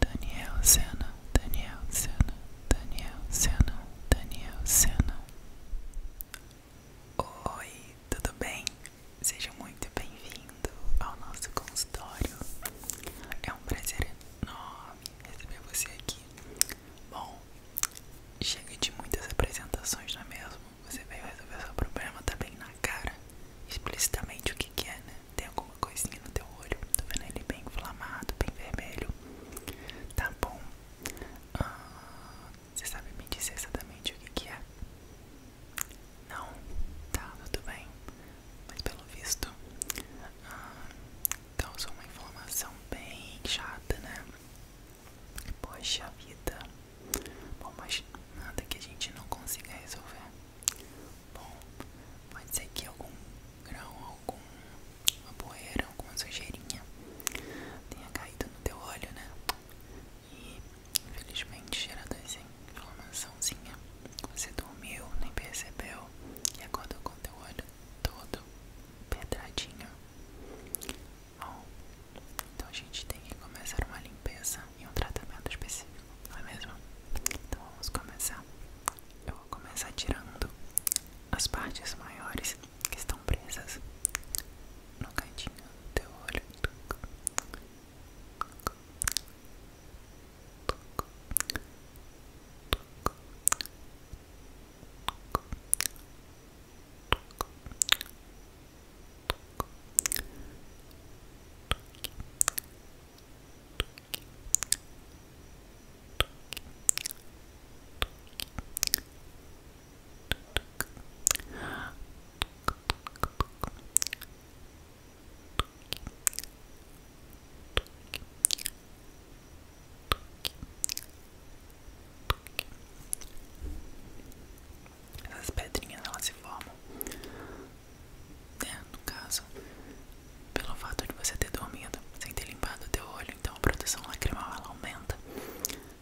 Daniel Senna, Daniel Senna, Daniel Senna, Daniel Senna. Oi, tudo bem? Seja muito bem-vindo ao nosso consultório. É um prazer enorme receber você aqui. Bom, chega de muitas apresentações, não é mesmo? Você veio resolver seu problema, tá bem na cara, explicitamente o que, que é, né? Tem alguma coisinha no teu olho? Tô vendo ele bem inflamado, bem vermelho. Tá bom. Ah, você sabe me dizer exatamente o que, é? Não? Tá, tá, tudo bem. Mas pelo visto, ah, causou uma inflamação bem chata, né? Poxa vida. Bom, mas nada que a gente não consiga resolver bom, pode ser que algum grão, alguma poeira, alguma sujeirinha tenha caído no teu olho, né? E infelizmente gerando essa inflamaçãozinha, você dormiu, nem percebeu e acordou com teu olho todo pedradinho. Bom, então a gente tem que começar uma limpeza e um tratamento específico, não é mesmo? Então vamos começar eu vou começar tirando as partes maiores que estão presas no cantinho do teu olho. Essas pedrinhas elas se formam né, no caso, pelo fato de você ter dormido sem ter limpado o teu olho, então a produção lacrimal ela aumenta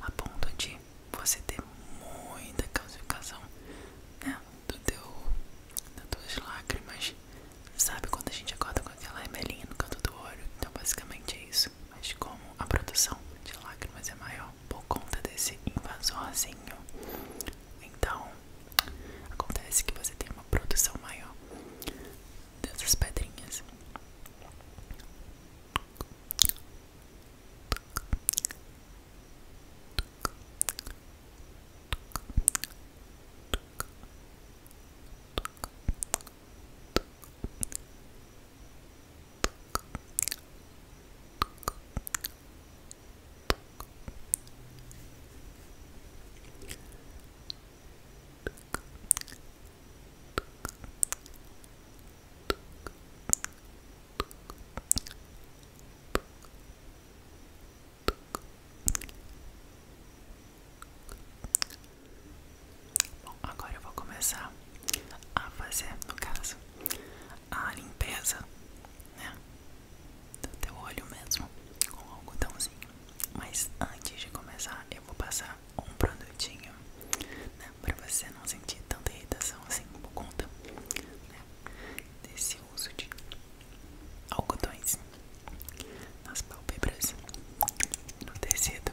a ponto de você ter muita calcificação né, do teu, das tuas lágrimas. Sabe quando a gente acorda com aquela remelinha no canto do olho? Então basicamente é isso. Mas como a produção de lágrimas é maior por conta desse invasorzinho, então Acontece que você tem uma produção maior dessas pedrinhas. Bom, agora eu vou começar a fazer, no caso, a limpeza, né? do então, teu olho mesmo com algodãozinho. Mas antes de começar, eu vou passar um produtinho né, para você não sentir tanta irritação assim por conta né, desse uso de algodões nas pálpebras, no tecido.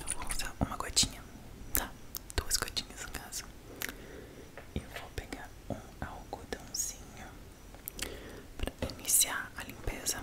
Eu vou usar uma gotinha, tá? Duas gotinhas no caso. Eu vou pegar um algodãozinho para iniciar a limpeza.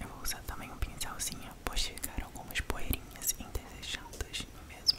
Eu vou usar também um pincelzinho, pois ficaram algumas poeirinhas indesejadas no é mesmo.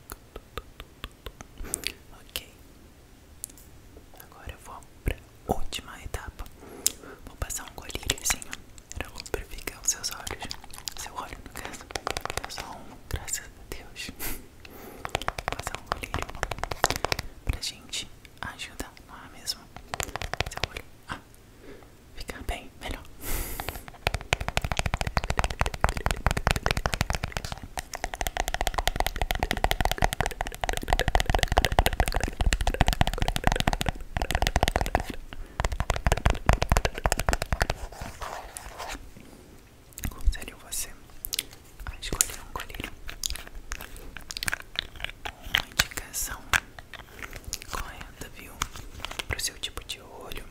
Ok. Agora eu vou pra última etapa. Vou passar um assim pra lubrificar os seus olhos. Seu olho, no caso. Só um, graças a Deus. Vou passar um colírio pra gente ajudar, não é mesmo? Seu olho. Ah, ficar bem, melhor. Aconselho você a escolher um colírio uma indicação correta, viu? para o seu tipo de olho,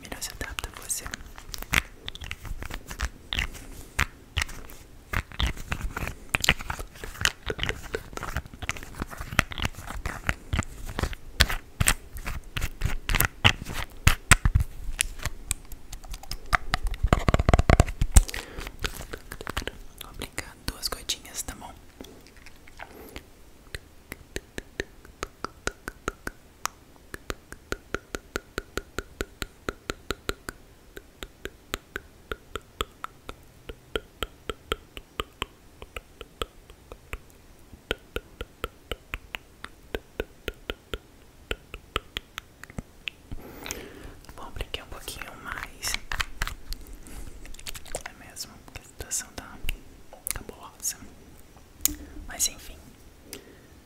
melhor se adapta você. Vou brincar duas gotinhas, tá bom? Bom, brinquei um pouquinho mais. É mesmo, porque a situação tá cabulosa. Mas enfim,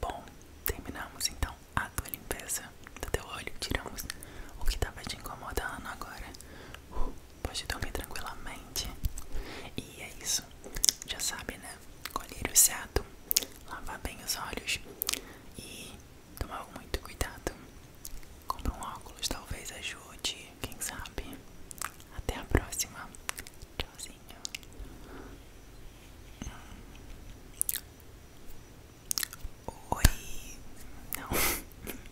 Bom, terminamos então a tua limpeza do teu olho, tiramos o que estava te incomodando agora. Uh pode dormir tranquilamente. E é isso, já sabe, né? o certo, lavar bem os olhos e tomar muito cuidado. Compra um óculos, talvez ajude, quem sabe. Até a próxima. Tchauzinho. Oi. Não.